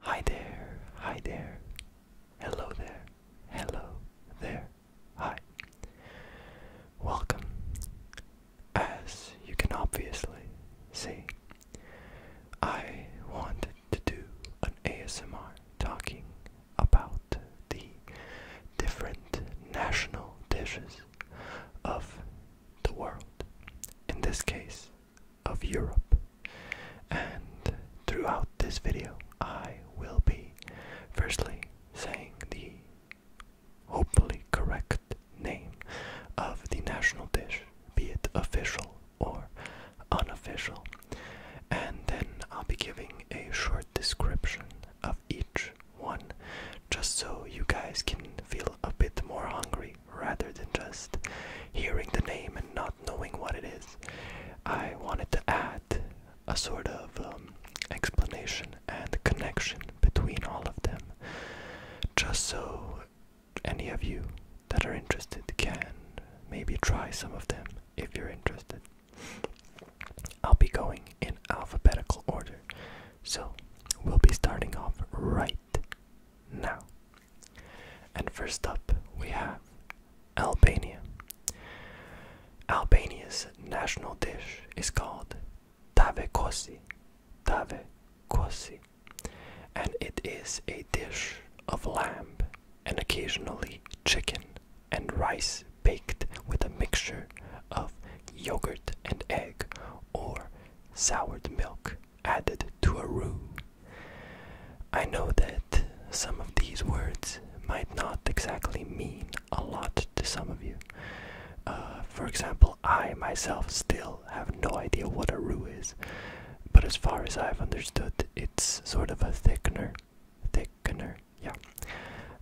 Hi there, hi there, hello there, hello there, hi. Welcome. As you can obviously see, I wanted to do an ASMR talking about the different national dishes of the world. In this case, of Europe. And throughout this video, I will be firstly saying the hopefully correct name of the national dish, be it official or unofficial. And then I'll be giving a short description of each one, just so you guys can feel a bit more hungry rather than just hearing the name and not knowing what it is. I wanted to add a sort of um, explanation and connection between all of them, just so any of you that are interested can maybe try some of them if you're interested. I'll be going in alphabetical order, so we'll be starting off right now. And first up, we have Albania. Albania's national dish is called tave kosi, tave kosi, and it is a dish of lamb and occasionally chicken and rice baked with a mixture of yogurt and egg or soured milk added to a roux. I know that some of these words might not exactly mean a lot to some of you. Uh, for example, I myself still have no idea what a roux is, but as far as I've understood, it's sort of a thickener. Thickener, yeah.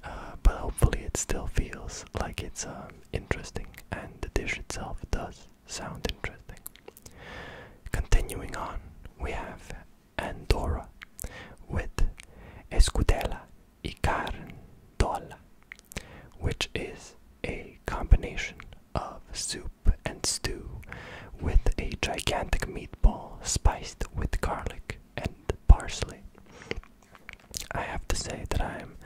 Uh, but hopefully, it still feels like it's um, interesting, and the dish itself does sound interesting. Continuing on, we have Andorra with Escudella y Carndola, which is a combination of soup and stew with a gigantic meatball spiced with garlic and parsley. I have to say that I'm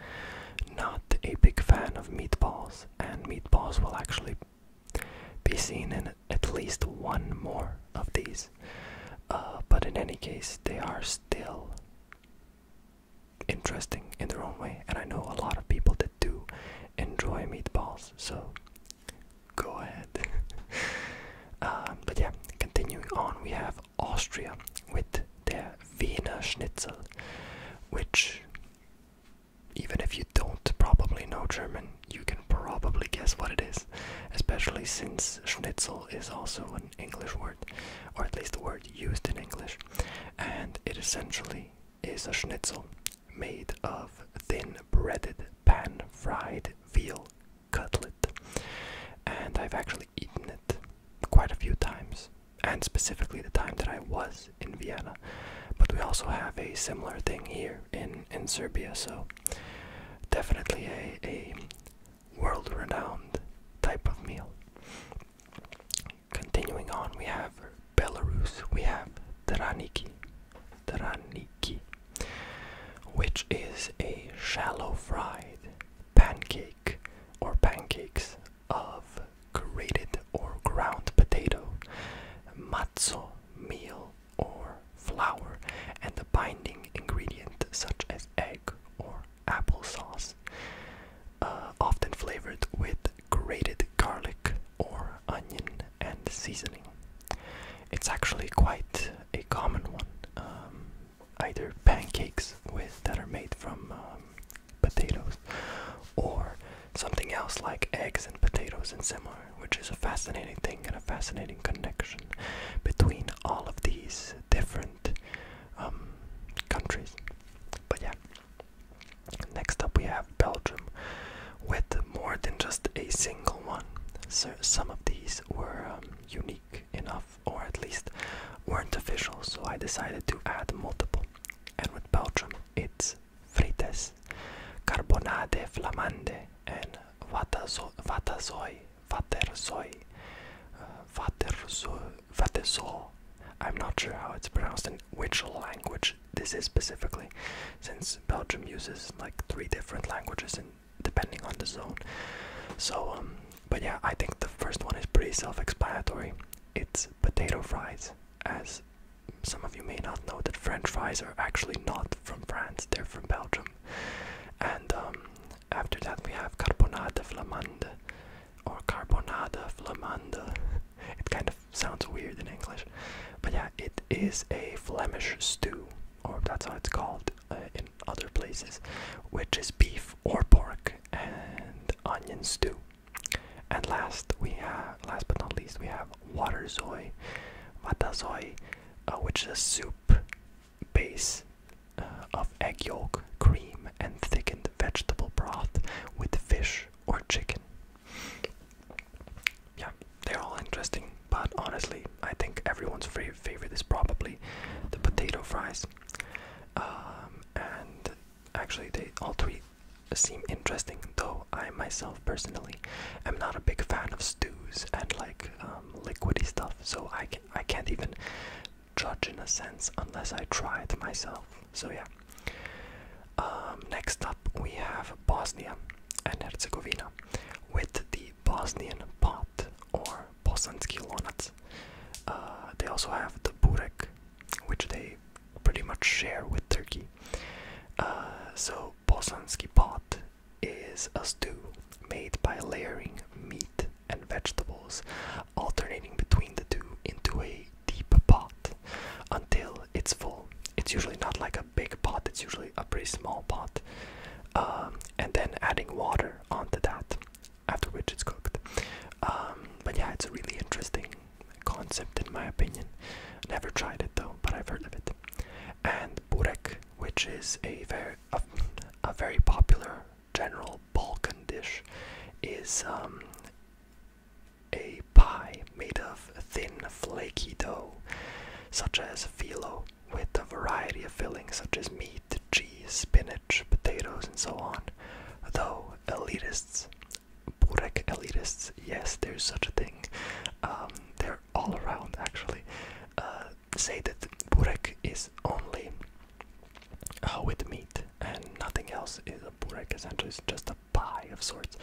not a big fan of meatballs, and meatballs will actually be seen in at least one more of these. Uh, but in any case, they are still interesting in their own way, and I know a lot of people that do enjoy meatballs, so go ahead. Um, but yeah, continuing on, we have Austria with their Wiener Schnitzel, which even if you don't probably know German, you can probably guess what it is, especially since schnitzel is also an English word, or at least a word used in English, and it essentially is a schnitzel made of thin breaded pan fried veal cutlet. And I've actually eaten it quite a few times and specifically the time that I was in Vienna. But we also have a similar thing here in, in Serbia, so definitely a, a world renowned type of meal. Continuing on, we have Belarus, we have Draniki, Draniki, which is a shallow fried pancake or pancakes of grated or ground potato, matzo meal or flour, and a binding ingredient such as egg or applesauce, uh, often flavored with grated garlic or onion and seasoning. It's actually quite a common one. Um, either pancakes with that are made from um, potatoes, or something else like eggs and potatoes and similar, which is a fascinating thing and a fascinating connection between all of these different um, countries. But yeah. Next up, we have Belgium with more than just a single one. So some of these were um, unique enough, or at least weren't official, so I decided to add multiple. And with Belgium, it's frites, carbonade flamande, and vatersoy, vatersoy, uh, vatersoy, vatersoy. I'm not sure how it's pronounced in which language this is specifically, since Belgium uses like three different languages depending on the zone. So, um, but yeah, I think the first one is pretty self explanatory. It's potato fries as some of you may not know that French fries are actually not from France, they're from Belgium. And um, after that, we have carbonade flamande or carbonade flamande. It kind of sounds weird in English, but yeah, it is a Flemish stew, or that's how it's called uh, in other places, which is beef or pork and onion stew. And last we have, last but not least, we have waterzoi, watazoi, uh, which is a soup base uh, of egg yolk, cream, and thickened vegetable broth with fish or chicken. Yeah, they're all interesting, but honestly, I think everyone's favorite is probably the potato fries. Um, and Actually, they all three seem interesting, though I myself personally am not a big fan of stews and like um, liquidy stuff, so I, can, I can't even judge in a sense unless I try it myself. So, yeah. Um, next up, we have Bosnia and Herzegovina with the Bosnian pot or bosanski lonac. Uh, they also have the burek, which they pretty much share with Turkey. Uh, so bosanski pot is a stew made by layering meat and vegetables, alternating between the two into a deep pot until it's full. It's usually not like a big pot, it's usually a pretty small pot. Um, and then adding water onto that, after which it's cooked. Um, but yeah, it's really interesting concept in my opinion. Never tried it though, but I've heard of it. And burek, which is a very a, very popular general Balkan dish, is um, a pie made of thin flaky dough, such as filo, with a variety of fillings such as meat, cheese, spinach, potatoes, and so on. Though elitists Burek elitists, yes, there's such a thing. Um, they're all around actually. Uh, say that Burek is only uh, with meat and nothing else. Is a Burek essentially is just a pie of sorts,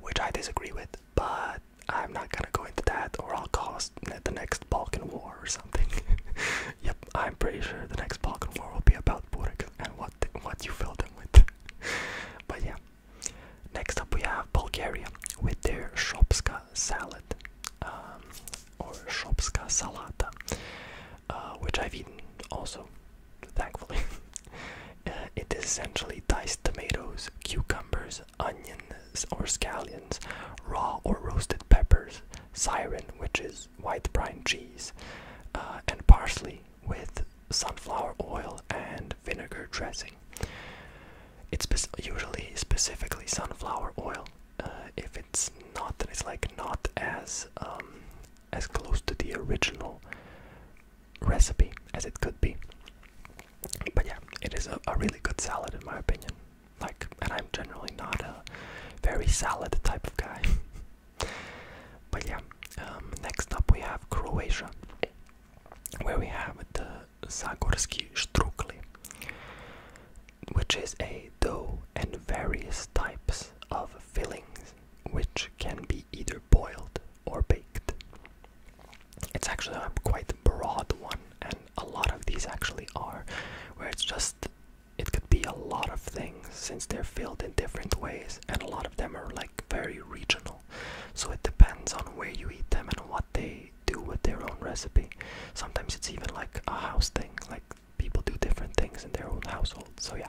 which I disagree with, but I'm not gonna go into that or I'll cause the next Balkan War or something. yep, I'm pretty sure the next Balkan War will be about Burek and what, what you filled but yeah. Next up we have Bulgaria with their shopska salad um, or shopska salata, uh, which I've eaten also, thankfully. Uh, it is essentially diced tomatoes, cucumbers, onions or scallions, raw or roasted peppers, siren, which is white brine cheese, uh, and parsley with sunflower oil and vinegar dressing. It's usually specifically sunflower oil. Uh, if it's not, then it's like not as um, as close to the original recipe as it could be. But yeah, it is a really good salad in my opinion. Like, and I'm generally not a very salad type of guy. But yeah, um, next up we have Croatia, where we have the Zagorski Strukli, which is a dough and various types of fillings which can be either boiled or baked. It's actually a quite broad one, and a lot of these actually are, where it's just it could be a lot of things since they're filled in different ways and a lot of them are like very regional so it depends on where you eat them and what they do with their own recipe sometimes it's even like a house thing like people do different things in their own household so yeah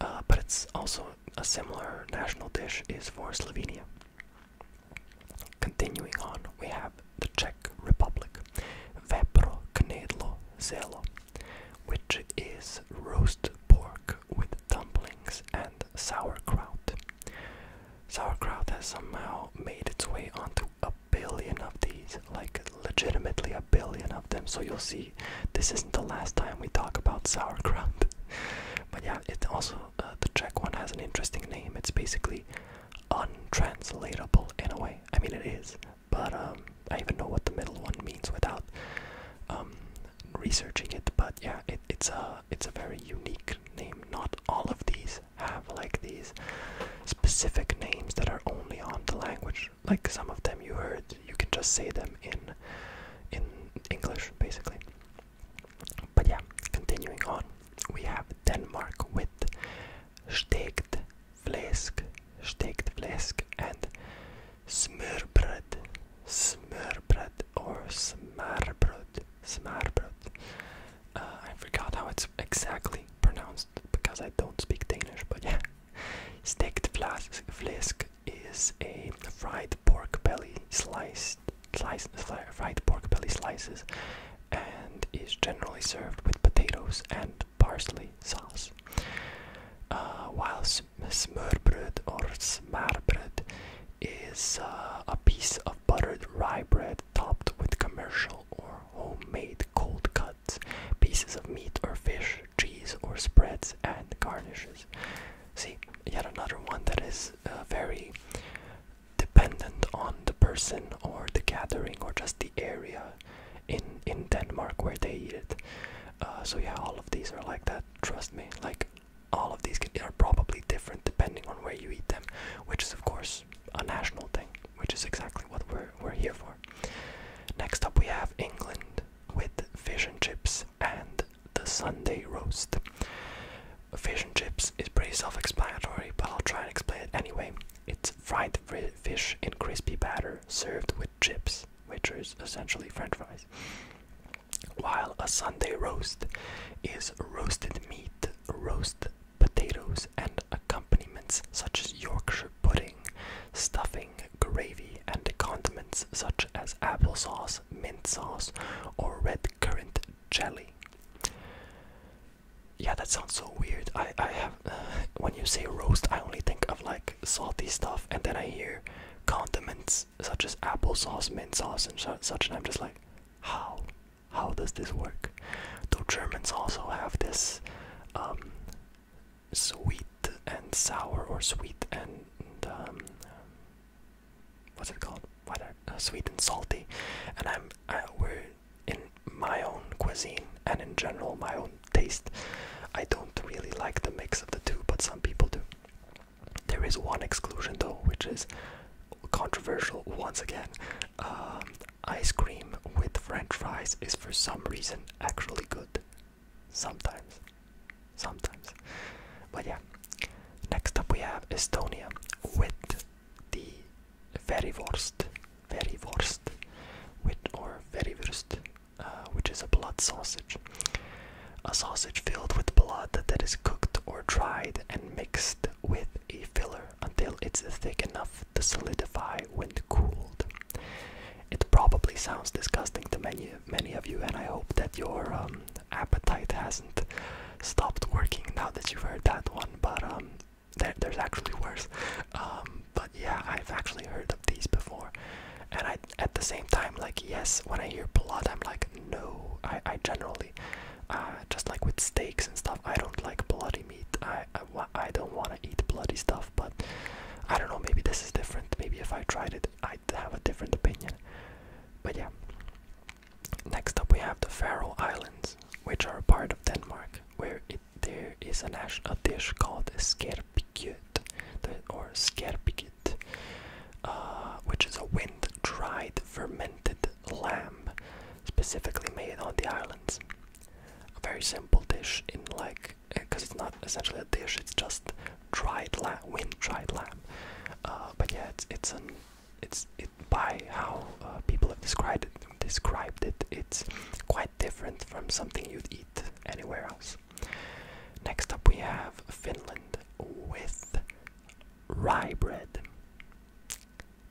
uh, but it's also a similar national dish is for Slovenia continuing on we have the Czech Republic vepro knedlo zelo which is roast pork with dumplings and sauerkraut. Sauerkraut has somehow made its way onto a billion of these, like legitimately a billion of them. So you'll see, this isn't the last time we talk about sauerkraut. but yeah, it also uh, the Czech one has an interesting name. It's basically untranslatable in a way. I mean, it is, but um, I even know what the middle one means without um, researching it. But yeah, it's a it's a very unique name. Not all of these have like these specific names that are only on the language. Like some of them you heard, you can just say them in in English basically. But yeah, continuing on, we have Denmark with stegt flisk stegt flisk and smørbrød, smørbrød or smarbrød, smarbrød. Uh, I forgot how it's exactly pronounced because I don't speak Danish, but yeah. Stekt flesk is a fried pork belly sliced, sliced fried pork belly slices and is generally served with potatoes and parsley sauce. Uh, while smørbrød or smarbrød is uh, a piece of buttered rye bread topped with commercial or homemade cold cuts, pieces of meat or fish, cheese or spreads, and garnishes. See, yet another one that is uh, very dependent on the person or the gathering or just the area in in Denmark where they eat it. Uh, so yeah, all of these are like that. Trust me, like all of these are probably different depending on where you eat them, which is of course a national thing, which is exactly what we're we're here for. Next up, we have England with fish and chips and the Sunday roast. Fish and chips is pretty self-explanatory, but I'll try and explain it anyway. It's fried fish in crispy batter served with chips which is essentially french fries. While a Sunday roast is roasted meat, roast potatoes, and accompaniments such as Yorkshire pudding, stuffing, gravy, and condiments such as applesauce, mint sauce, or red currant jelly. Yeah, that sounds so weird. I I have uh, when you say roast, I only think of like like salty stuff, and then I hear condiments such as applesauce, mint sauce, and such, and I'm just like, how? How does this work? Though Germans also have this um, sweet and sour, or sweet and um, what's it called? Why uh, sweet and salty? And I'm I, we're in my own cuisine and in general my own taste. I don't really like the mix of the two, but some people do. There is one exclusion though, which is controversial once again. Um, ice cream with French fries is for some reason actually good. Sometimes. Sometimes. But yeah. Next up we have Estonia with the very worst, very worst, With or very worst. Uh, which is a blood sausage. A sausage filled with blood that is cooked or dried and mixed with a filler until it's thick enough to solidify when cooled. It probably sounds disgusting to many, many of you, and I hope that your um, appetite hasn't stopped working now that you've heard that one. But um, there's actually worse. Um, but yeah, I've actually heard of these before, and I at the same time, like yes, when I hear blood, I'm like no. I, I generally, uh, just like with steaks and stuff, I don't like bloody meat. I, I, don't want to eat bloody stuff. But I don't know. Maybe this is different. Maybe if I tried it, I'd have a different opinion. But yeah. Next up, we have the Faroe Islands, which are part of Denmark, where there is a national dish called skerpikjö or Skerpikit, uh, which is a wind-dried fermented lamb, specifically made on the islands. A very simple dish in like, because eh, it's not essentially a dish; it's just dried lamb, wind-dried lamb. Uh, but yeah, it's it's it's it by how uh, people have described Described it. It's quite different from something you'd eat anywhere else. Next up, we have Finland with rye bread.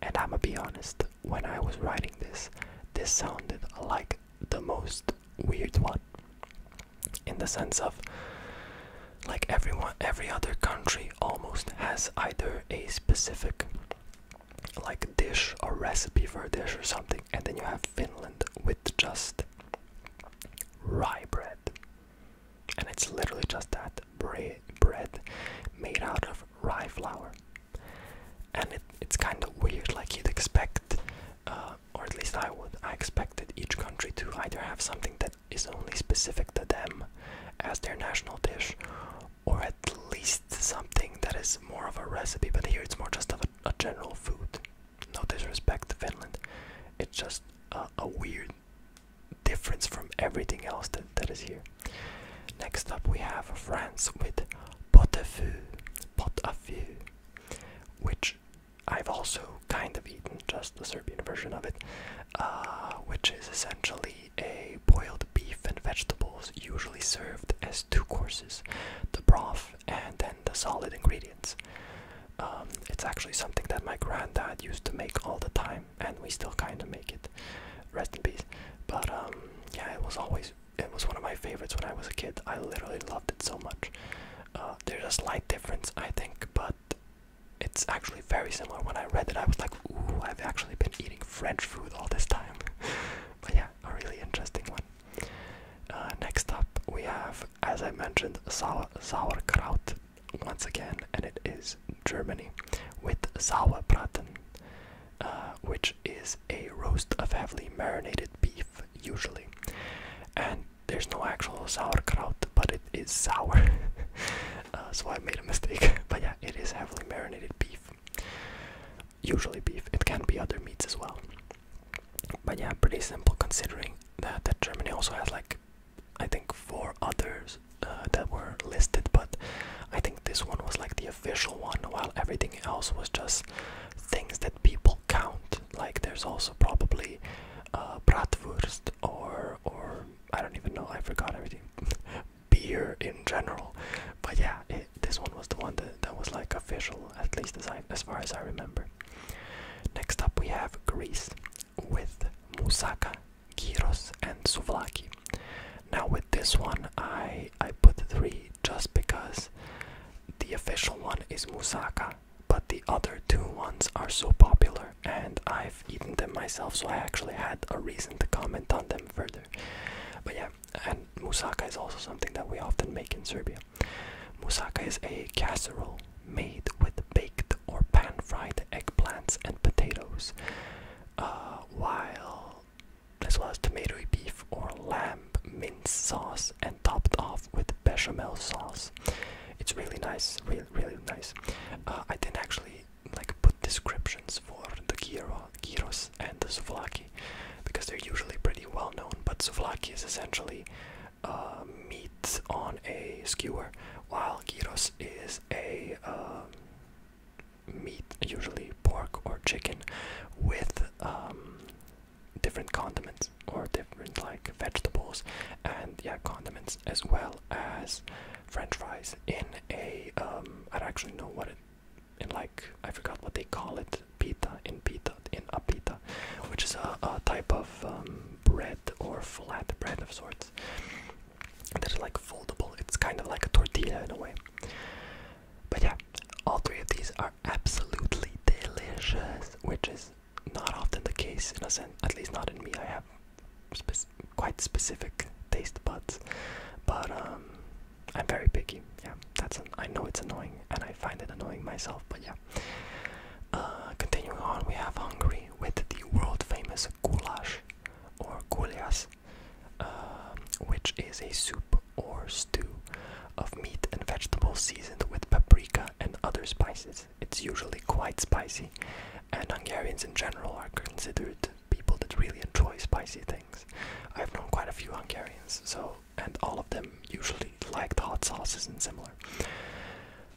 And I'ma be honest, when I was writing this, this sounded like the most weird one. In the sense of, like everyone, every other country almost has either a specific like dish or recipe for a dish or something and then you have Finland with just rye bread. And it's literally just that bread made out of rye flour. And it's kind of weird, like you'd expect, uh, or at least I would, I expected each country to either have something that is only specific to them as their national dish, or at least something that is more of a recipe, but here it's more just of a general food no disrespect to Finland. It's just a, weird difference from everything else that, that is here. Next up, we have France with pot au feu, which I've also kind of eaten, just the Serbian version of it, uh, which is essentially a boiled beef and vegetables, usually served as two courses, the broth and then the solid ingredients. Um, it's actually something that my granddad used to make all the time, and we still kind of make it. Rest in peace. But um, yeah, it was always it was one of my favorites when I was a kid. I literally loved it so much. Uh, there's a slight difference, I think, but it's actually very similar. When I read that, I was like, "Ooh, I've actually been eating French food all this time." but yeah, a really interesting one. Uh, next up, we have, as I mentioned, sauerkraut once again, and it is Germany with Sauerbraten, uh, which is a roast of heavily marinated beef, usually. And there's no actual sauerkraut, but it is sour. Uh, so I made a mistake. but yeah, it is heavily marinated beef usually beef. It can be other meats as well. But yeah, pretty simple considering that, Germany also has like I think four others uh, that were listed, but I think this one was like the official one, while everything else was just things that people count. Like there's also probably uh, bratwurst or or I don't even know. I forgot everything. Beer in general, but yeah, this one was the one that, that was like official, at least as as far as I remember. Next up we have Greece with moussaka, gyros, and souvlaki. Now with this one I I put three just because the official one is moussaka, but the other two ones are so popular and I've eaten them myself, so I actually had a reason to comment on them further. But yeah, and moussaka is also something that we often make in Serbia. Moussaka is a casserole made with baked or pan-fried eggplants and potatoes, uh, while as well as tomatoey beef or lamb mince sauce and topped off with bechamel sauce. It's really nice, really, really nice. Uh, I didn't actually like put descriptions for the gyro, gyros and the souvlaki because they're usually pretty well known. But souvlaki is essentially uh, meat on a skewer, while gyros is a uh, meat, usually pork or chicken, with um, different condiments or different like vegetables and yeah condiments as well as French fries in a. Um, don't actually know what it in like I forgot what they call it, pita in pita in a pita, which is a, a type of um, bread or flat bread of sorts that is like foldable. It's kind of like a tortilla in a way. But yeah, all three of these are absolutely delicious, which is not often the case in a sense. At least not in me. I have quite specific taste buds, but um, I'm very picky. Yeah, that's I know it's annoying, and I find it annoying myself. But yeah. Uh, continuing on, we have Hungary with the world famous goulash, or gulyas, um, which is a soup or stew of meat and vegetables seasoned with paprika and other spices. It's usually quite spicy, and Hungarians in general are considered people that really enjoy spicy things. I've known quite a few Hungarians, so and all of them usually liked hot sauces and similar.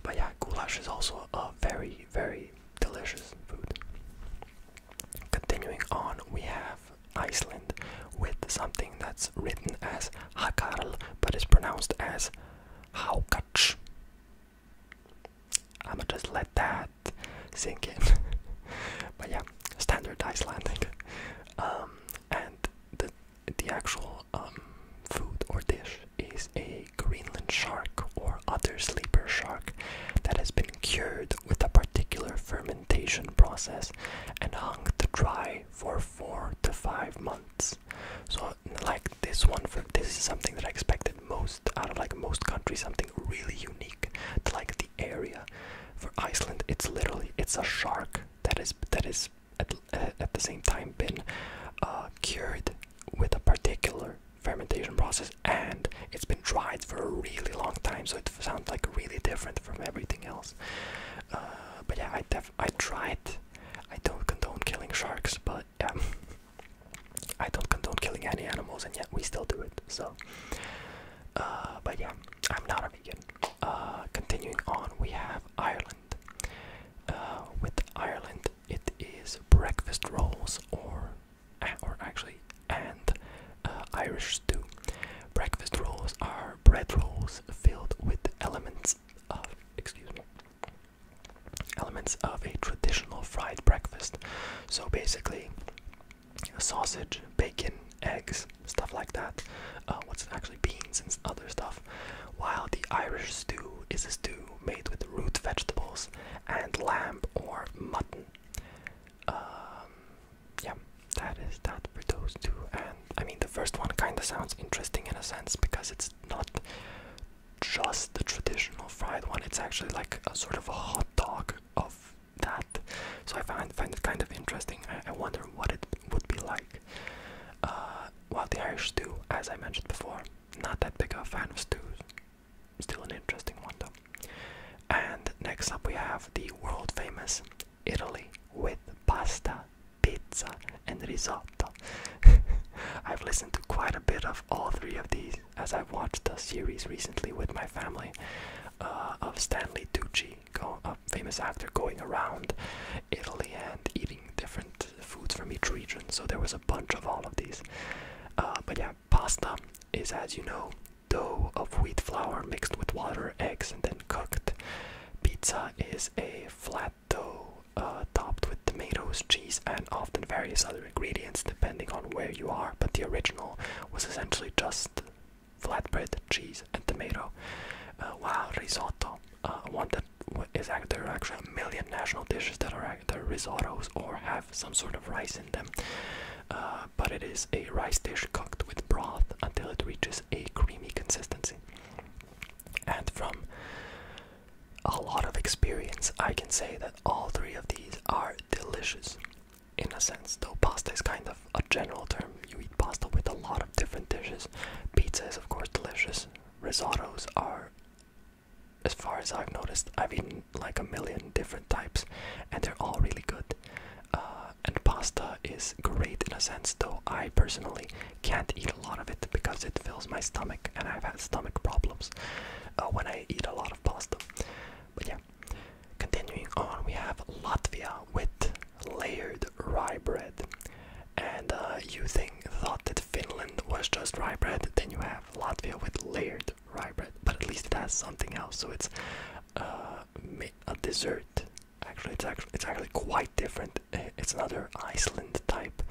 But yeah, goulash is also a very, very delicious food. Continuing on, we have Iceland with something that's written as hakarl but is pronounced as haukach. I'ma just let that sink in. but yeah, standard Icelandic. Um, and the the actual um, food or dish is a Greenland shark or other sleeper shark that has been cured with a particular fermentation process and hung to dry for four to five months. So, like this one, this is something that I expected most out of like most countries, something really unique to like the area. For Iceland, it's literally it's a shark that is that is at, at the same time been uh, cured with a particular fermentation process and it's been dried for a really long time so it sounds like really different from everything else uh, but yeah i def i tried i don't condone killing sharks but um, i don't condone killing any animals and yet we still do it so uh, but yeah i'm not a vegan uh, continuing on, we have Ireland. Uh, with Ireland, it is breakfast rolls, or or actually, and uh, Irish stew. Breakfast rolls are bread rolls filled with elements of, excuse me, elements of a traditional fried breakfast. So basically, sausage, bacon, eggs, stuff like that. Uh, what's actually beans and other stuff. While the Irish stew is a stew made with root vegetables and lamb or mutton. Um, yeah, that is that for those two. And I mean, the first one kind of sounds interesting in a sense because it's not just the traditional fried one. It's actually like a sort of a hot dog of that. So I find find it kind of interesting. I, I wonder what it would be like. Uh, while the Irish stew, as I mentioned before, not that big of a fan of stews. Still an interesting one though. And next up we have the world famous Italy with pasta, pizza, and risotto. I've listened to quite a bit of all three of these as i watched the series recently with my family uh, of Stanley Tucci a famous actor going around Italy and eating different foods from each region. So there was a bunch of all of these. Uh, but yeah, pasta is, as you know, dough of wheat flour mixed with water, eggs, and then cooked. Pizza is a flat dough uh, topped with tomatoes, cheese, and often various other ingredients depending on where you are. But the original was essentially just flatbread, cheese, and tomato. Uh, wow, risotto. Uh, one that is there are actually a million national dishes that are risottos or have some sort of rice in them. Uh, but it is a rice dish cooked with broth until it reaches a creamy consistency. And from a lot of experience, I can say that all three of these are delicious in a sense, though pasta is kind of a general term. You eat pasta with a lot of different dishes. Pizza is, of course, delicious. Risottos are, as far as I've noticed, I've eaten like a million different types, and they're all really good. Uh, and pasta is great in a sense, though I personally can't eat a lot of it because it fills my stomach, and I've had stomach problems uh, when I eat a lot of pasta. But yeah, Continuing on, we have Latvia with layered rye bread. And uh, you think thought that Finland was just rye bread, then you have Latvia with layered rye bread. But at least it has something else, so it's uh, a dessert. Actually, it's actually it's actually quite different. It's another Iceland type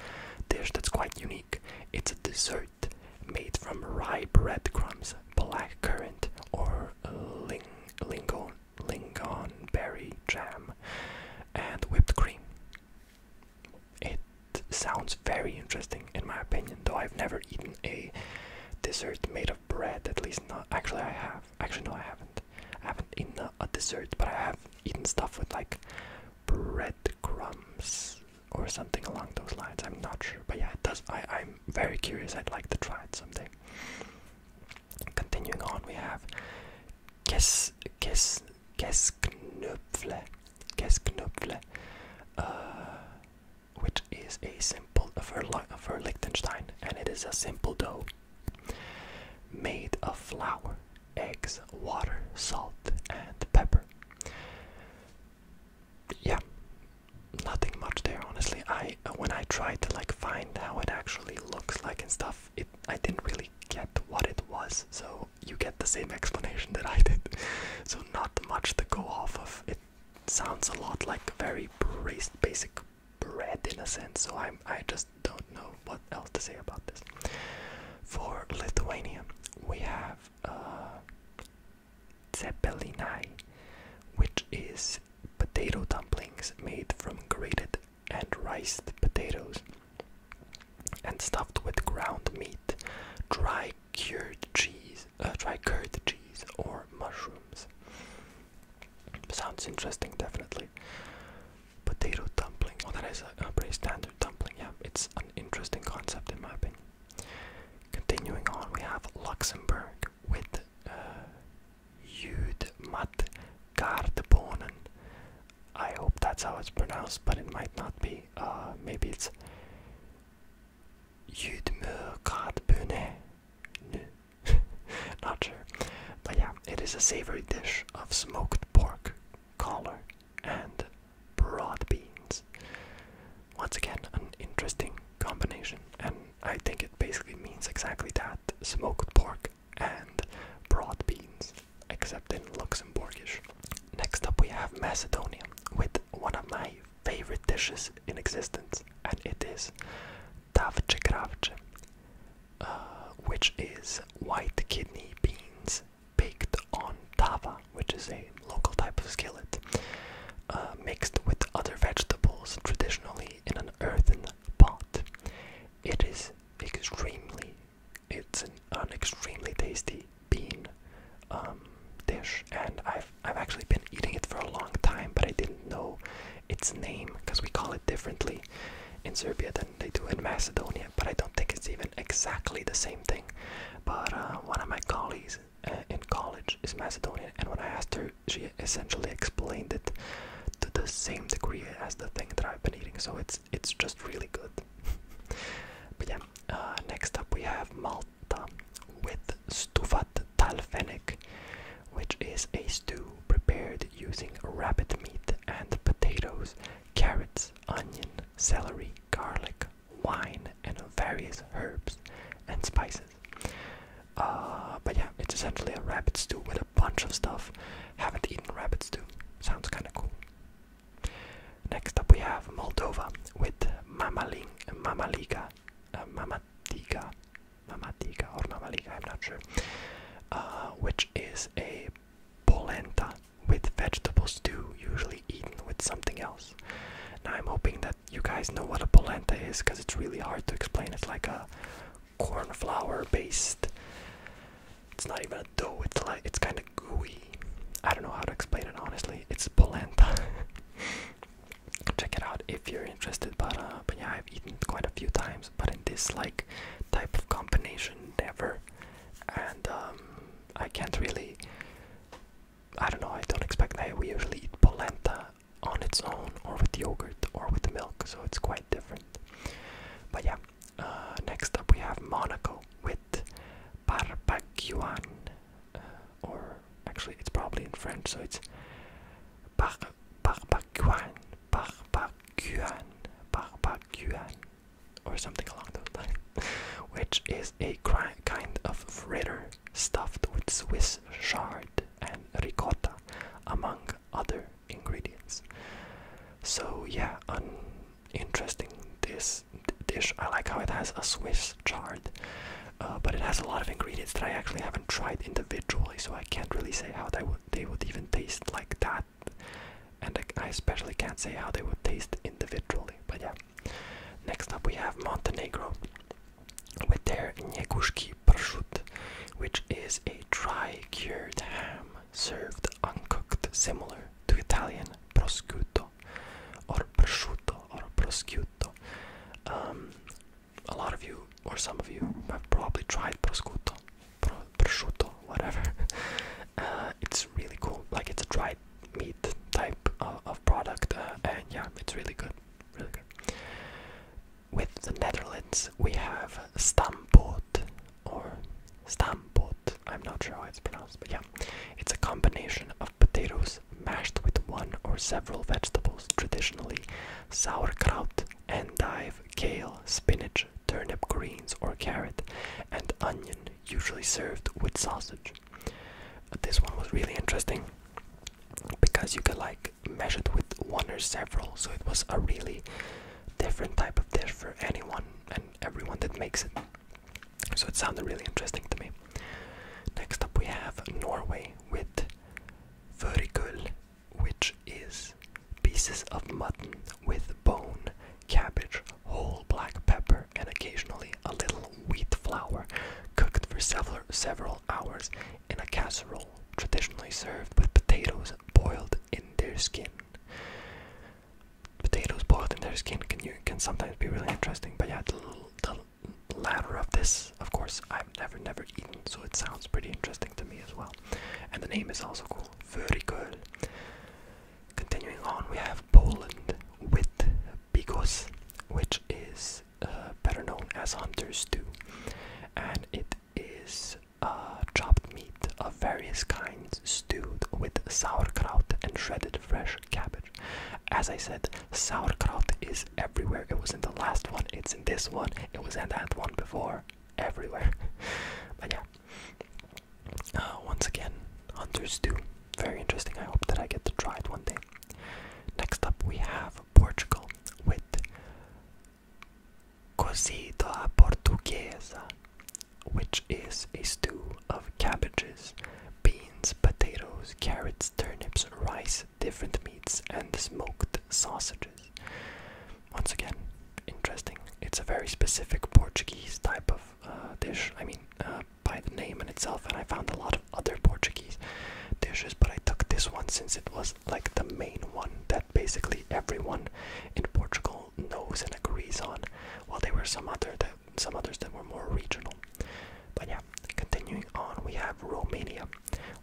dish that's quite unique. It's a dessert made from rye bread crumbs, black currant, or ling lingon lingon berry jam, and whipped cream. It sounds very interesting in my opinion, though I've never eaten a dessert made of bread, at least not. Actually, I have. Actually, no, I haven't. I haven't eaten a, dessert, but I have eaten stuff with like bread crumbs or something along those lines. I'm not sure, but yeah, it does. I, I'm very curious. I'd like to try it someday. Continuing on, we have Kes Kes Kesknöpfle, Kesknöpfle, uh, which is a simple for, for Liechtenstein, and it is a simple dough made of flour, eggs, water, salt, and pepper. Yeah, nothing much there honestly i uh, when i tried to like find how it actually looks like and stuff it i didn't really get what it was so you get the same explanation that i did so not much to go off of it sounds a lot like very basic bread in a sense so i'm i just don't know what else to say about this for lithuania we have uh which is potato dumplings made from grated and riced potatoes and stuffed with ground meat, dry cured cheese, uh, dry curd cheese, or mushrooms. Sounds interesting, definitely. Potato dumpling. Oh, that is a, a pretty standard dumpling. Yeah, it's an interesting concept in my opinion. Continuing on, we have Luxembourg with Judmat I hope that's how it's pronounced, but it might not be. Uh, maybe it's Judmurkardbune. Not sure. But yeah, it is a savory dish of smoked pork, collar, and broad beans. Once again, an interesting combination I think it basically means exactly that smoked pork and broad beans, except in Luxembourgish. Next up, we have Macedonia with one of my favorite dishes in existence, and it is tavce kravce, uh, which is white kidney beans baked on tava, which is a local type of skillet, uh, mixed with other vegetables, traditionally in an earthen pot. It is extremely, it's an, extremely tasty bean um, dish, and I've I've actually been eating it for a long time, but I didn't know its name because we call it differently in Serbia than they do in Macedonia. But I don't think it's even exactly the same thing. But uh, one of my colleagues uh, in college is Macedonian, and when I asked her, she essentially explained it to the same degree as the thing that I've been eating, so it's it's just really good. but yeah, uh, next up we have Malta with stufat talfenek, which is a stew prepared using rabbit meat and potatoes, carrots, onion, celery, garlic, wine, and various herbs and spices. Uh, but yeah, it's essentially a rabbit stew with a bunch of stuff. Haven't eaten rabbit stew. Sounds kind of cool. Next up, we have Moldova with mamaling, mamaliga, uh, mamatiga, mamatiga or mamaliga. I'm not sure. Uh, which is a polenta with vegetable stew, usually eaten with something else. Now I'm hoping that you guys know what a polenta is because it's really hard to explain. It's like a corn flour based. It's not even a dough. It's like it's kind of gooey. I don't know how to explain it honestly. It's polenta. Check it out if you're interested. But uh, yeah, I've eaten it quite a few times. But in this like type of combination, never. And um, I can't really. I don't know. I don't expect. I we usually eat polenta on its own or with yogurt or with milk, so it's quite different. But yeah, uh, next up we have Monaco with barbacoan, uh, or actually it's probably in French, so it's bar barbacoan, barbacoan, barbacoan, or something along those lines, which is a kind of fritter stuffed with Swiss chard and ricotta, among other ingredients. So yeah, interesting this dish. I like how it has a Swiss chard, uh, but it has a lot of ingredients that I actually haven't tried individually, so I can't really say how they would they would even taste like that, and I especially can't say how they would taste individually. But yeah, next up we have Montenegro with their nyagushki prosciutto, which is a dry cured ham served uncooked, similar to Italian prosciutto or prosciutto or prosciutto. Um, a lot of you, or some of you, have probably tried prosciutto, pro prosciutto, whatever. Uh, it's really cool. Like it's a dried meat type of, product, uh, and yeah, it's really good, really good with the Netherlands, we have Stamppot or Stamppot. I'm not sure how it's pronounced, but yeah, it's a combination of potatoes mashed with one or several vegetables, traditionally sauerkraut, endive, kale, spinach, turnip greens or carrot, and onion, usually served with sausage. this one was really interesting because you could like measured with one or several, so it was a really different type of dish for anyone and everyone that makes it. So it sounded really interesting to me. Next up, we have Norway with furikul, which is pieces of mutton with bone, cabbage, whole black pepper, and occasionally a little wheat flour cooked for several several hours in a casserole, traditionally served with potatoes boiled in their skin. Potatoes boiled in their skin can can sometimes be really interesting, but yeah, the, latter of this, of course, I've never never eaten, so it sounds pretty interesting to me as well. And the name is also cool, Vörikål. Continuing on, we have Poland with bigos, which is uh, better known as hunter's stew, and it is uh, chopped meat of various kinds stewed with sauerkraut and shredded fresh cabbage. As I said, sauerkraut is everywhere. It was in the last one, it's in this one, it was in that one before, everywhere. but yeah. Uh, once again, Hunter's Stew. Very interesting. I hope that I get to try it one day. Next up, we have Portugal with cozido portuguesa, which is a stew of cabbages, beans, potatoes, carrots, turnips, rice, different meats, and smoked sausages. Once again, interesting. It's a very specific Portuguese type of uh, dish. I mean, uh, by the name in itself, and I found a lot of other Portuguese dishes, but I took this one since it was like the main one that basically everyone in Portugal knows and agrees on. While there were some other that some others that were more regional. But yeah, continuing on, we have Romania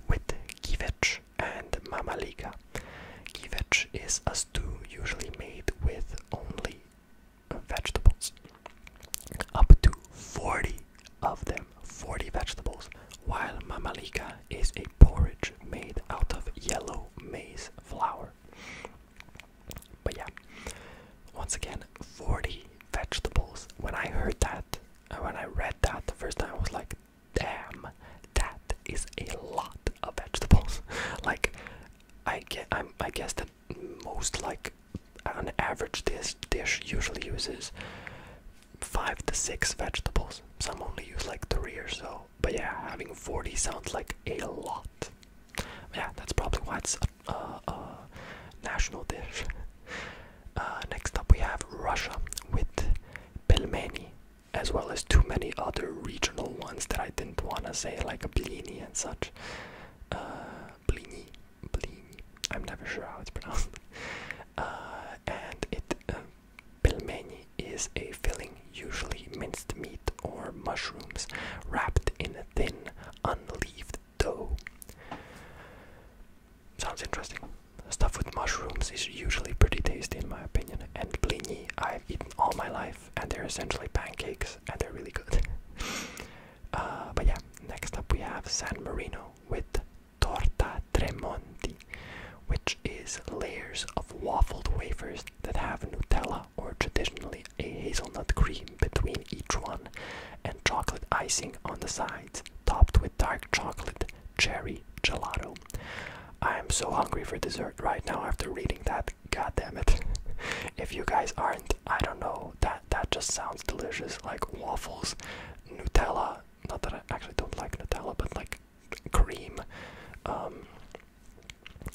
with kivec and mamaliga. Kivec is a stew usually made with only vegetables. Up to 40 of them 40 vegetables, while mamalika is a porridge made out of yellow maize flour. But yeah, once again, 40 vegetables. When I heard that, and uh, when I read that the first time, I was like, damn, that is a lot of vegetables. like, I, get, I'm, I guess that most, like, an average dish, dish usually uses five to six vegetables. Some only use like three or so. But yeah, having 40 sounds like a lot. Yeah, that's probably why it's a, national dish. Uh, next up, we have Russia with pelmeni, as well as too many other regional ones that I didn't want to say, like blini and such. Uh, blini, I'm never sure how it's pronounced. Uh, and it uh, pelmeni is a filling, usually minced meat or mushrooms, wrapped in a thin, unleaved dough. Sounds interesting. Stuff with mushrooms is usually pretty tasty, in my opinion. And blini, I've eaten all my life, and they're essentially pancakes, and they're really good. Uh, but yeah, next up we have San Marino with torta tremonti, which is layers of waffled wafers that have Nutella or traditionally a hazelnut cream between each one and chocolate icing on the sides, topped with dark chocolate cherry gelato. I am so hungry for dessert right now after reading that. God damn it. if you guys aren't, I don't know. That that just sounds delicious like waffles Nutella. Not that I actually don't like Nutella, but like cream um,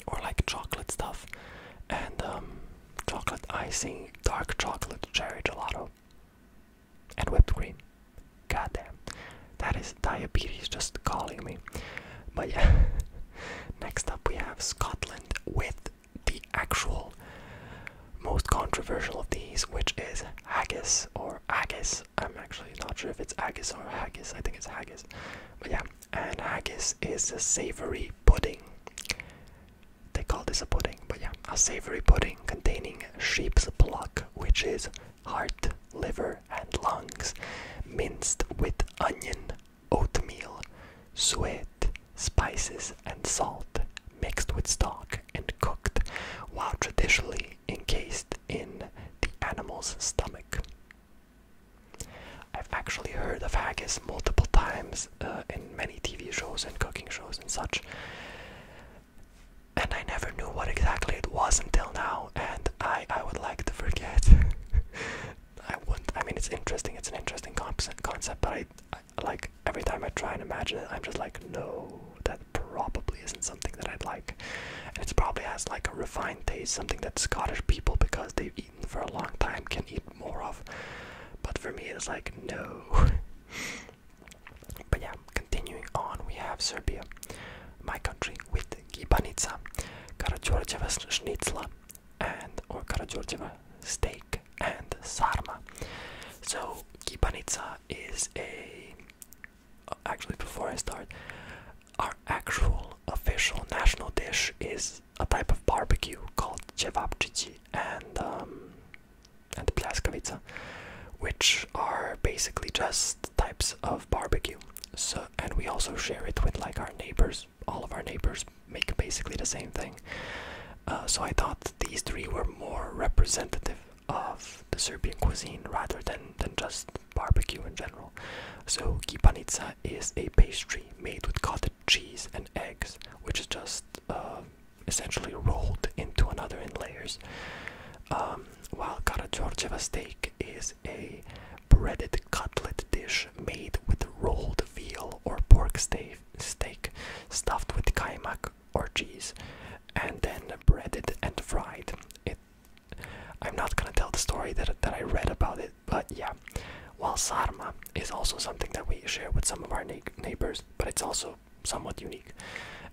or like chocolate stuff and um, chocolate icing, dark chocolate, cherry gelato, and whipped cream. Goddamn, that is diabetes just calling me. But yeah, next up we have Scotland with the actual most controversial of these, which is haggis or haggis. I'm actually not sure if it's haggis or haggis. I think it's haggis. But yeah, and haggis is a savory pudding. They call this a pudding, but yeah, a savory pudding containing sheep's pluck, which is heart, liver, and lungs, minced with onion, oatmeal, suet, spices, and salt, mixed with stock and cooked, while traditionally encased in the animal's stomach. I've actually heard of haggis multiple times uh, in many TV shows and cooking shows and such. And I never knew what exactly it was until now, and I, I would like to forget. I wouldn't. I mean, it's interesting. It's an interesting concept, concept but I, like every time I try and imagine it, I'm just like, no, that probably isn't something that I'd like. And it's probably has like a refined taste, something that Scottish people, because they've eaten for a long time, can eat more of. But for me, it's like, no. but yeah, continuing on, we have Serbia, my country, with Gibanica, Karadjordjeva Schnitzla, and or Karadjordjeva steak and Sarma. So Kipanitsa is a. Actually, before I start, our actual official national dish is a type of barbecue called chevapchichi and um, and plaskavica, which are basically just types of barbecue. So, and we also share it with like our neighbors. All of our neighbors make basically the same thing. Uh, so I thought these three were more representative of the Serbian cuisine rather than, than just barbecue in general. So kipanica is a pastry made with cottage cheese and eggs, which is just uh, essentially rolled into another in layers. Um, while Karagiorgieva steak is a breaded cutlet dish made with rolled veal or pork steak, steak stuffed with kaimak, or cheese, and then breaded and fried. It. I'm not gonna tell the story that that I read about it, but yeah. While sarma is also something that we share with some of our na neighbors, but it's also somewhat unique,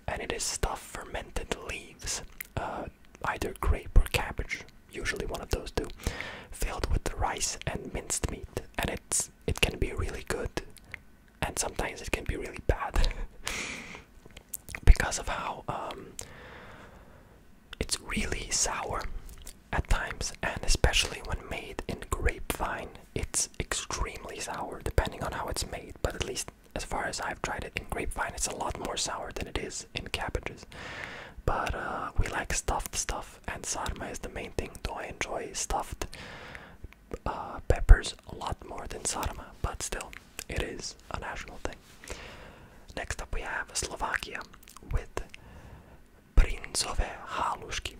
and it is stuffed fermented leaves, uh, either grape or cabbage, usually one of those two, filled with rice and minced meat, and it's it can be really good and sometimes it can be really bad because of how um, it's really sour at times, and especially when made in grapevine, it's extremely sour depending on how it's made. But at least as far as I've tried it in grapevine, it's a lot more sour than it is in cabbages. But uh, we like stuffed stuff, and sarma is the main thing. Though I enjoy stuffed uh, peppers a lot more than Sarma, but still, it is a national thing. Next up, we have Slovakia with princove halushki,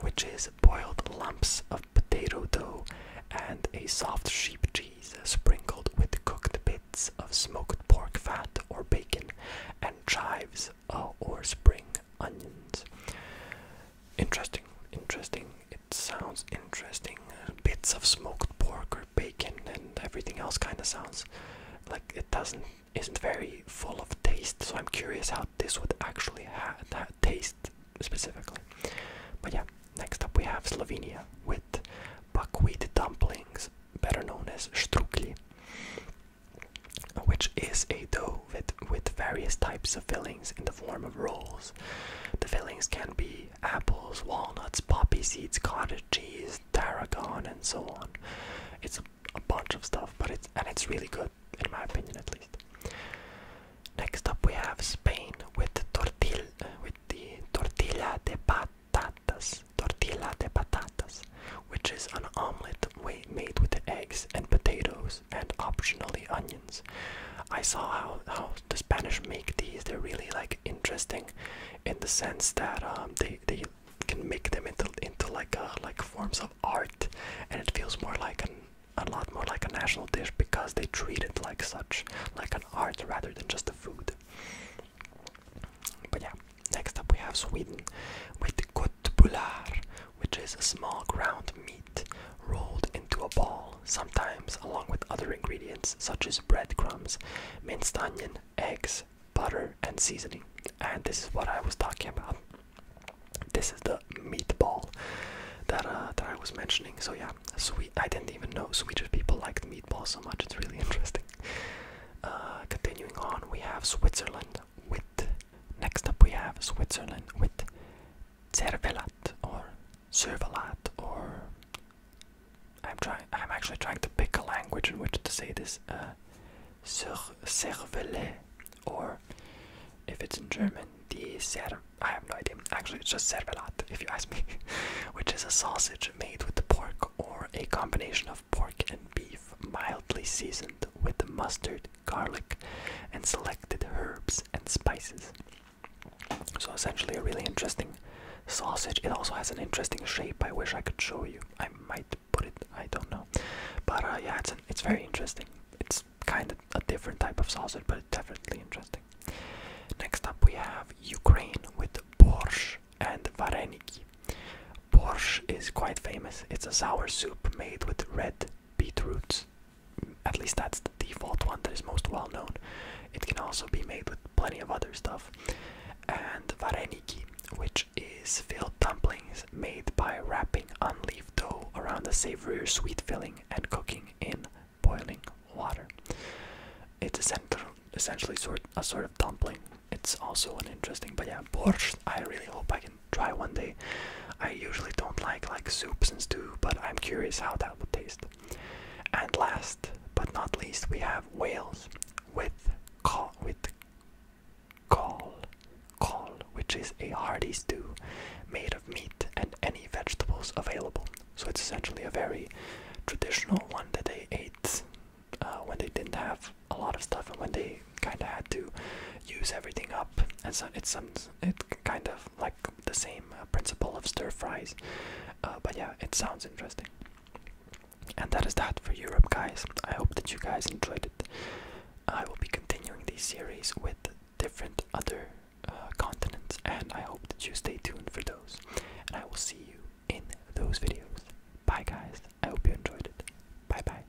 which is boiled lumps of potato dough and a soft sheep cheese sprinkled with cooked bits of smoked pork fat or bacon and chives uh, or spring onions. Interesting, interesting. It sounds interesting. Bits of smoked pork or bacon and everything else kind of sounds like it doesn't isn't very full of taste. So I'm curious how this would actually taste specifically. But yeah, next up we have Slovenia with buckwheat dumplings, better known as strukli, which is a dough with, various types of fillings in the form of rolls. The fillings can be apples, walnuts, poppy seeds, cottage cheese, tarragon, and so on. It's a, bunch of stuff, but it's and it's really good in my opinion, at least. Next up, we have Spain with the tortilla de patatas, tortilla de patatas, which is an omelet way made with the eggs and potatoes and optionally onions. I saw how, how the Spanish make these. They're really like interesting in the sense that um, they, they can make them into into like a, uh, like forms of art and it feels more like an a lot more like a national dish because they treat it like such like an art rather than just a food. But yeah, next up we have Sweden with good Kutbular, which is a small ground meat rolled into a ball, sometimes along with other ingredients such as breadcrumbs, minced onion, eggs, butter, and seasoning. And this is what I was talking about. This is the meatball that uh, that I was mentioning. So yeah, sweet. I didn't even know Swedish people liked meatball so much. It's really interesting. Uh, continuing on, we have Switzerland. Next up we have Switzerland with Cervelat or Cervelat or I'm trying I'm actually trying to pick a language in which to say this uh Cervelet or if it's in German the Cer I have no idea. Actually it's just Cervelat if you ask me which is a sausage made with pork or a combination of pork and beef mildly seasoned with mustard garlic, and selected herbs and spices. So, essentially, a really interesting sausage. It also has an interesting shape. I wish I could show you. I might put it, I don't know. But uh, yeah, it's, it's very interesting. It's kind of a different type of sausage, but definitely interesting. Next up, we have Ukraine with borsh and vareniki. Borsh is quite famous. It's a sour soup made with red beetroots, at least that's the default one that is most well known. It can also be made with plenty of other stuff. And vareniki, which is filled dumplings made by wrapping unleaf dough around a savory or sweet filling and cooking in boiling water. It's essentially sort a sort of dumpling. It's also an interesting, but yeah, borscht. I really hope I can try one day. I usually don't like like soups and stew, but I'm curious how that would taste. And last but not least, we have Wales with call with call call, which is a hearty stew made of meat and any vegetables available. So it's essentially a very traditional one that they ate uh, when they didn't have a lot of stuff and when they kind of had to use everything up, and so it's some it kind of like the same uh, principle of stir fries. Uh, but yeah, it sounds interesting. And that is that for Europe, guys. I hope that you guys enjoyed it. I will be continuing this series with different other uh, continents, and I hope that you stay tuned for those. And I will see you in those videos. Bye, guys. I hope you enjoyed it. Bye bye.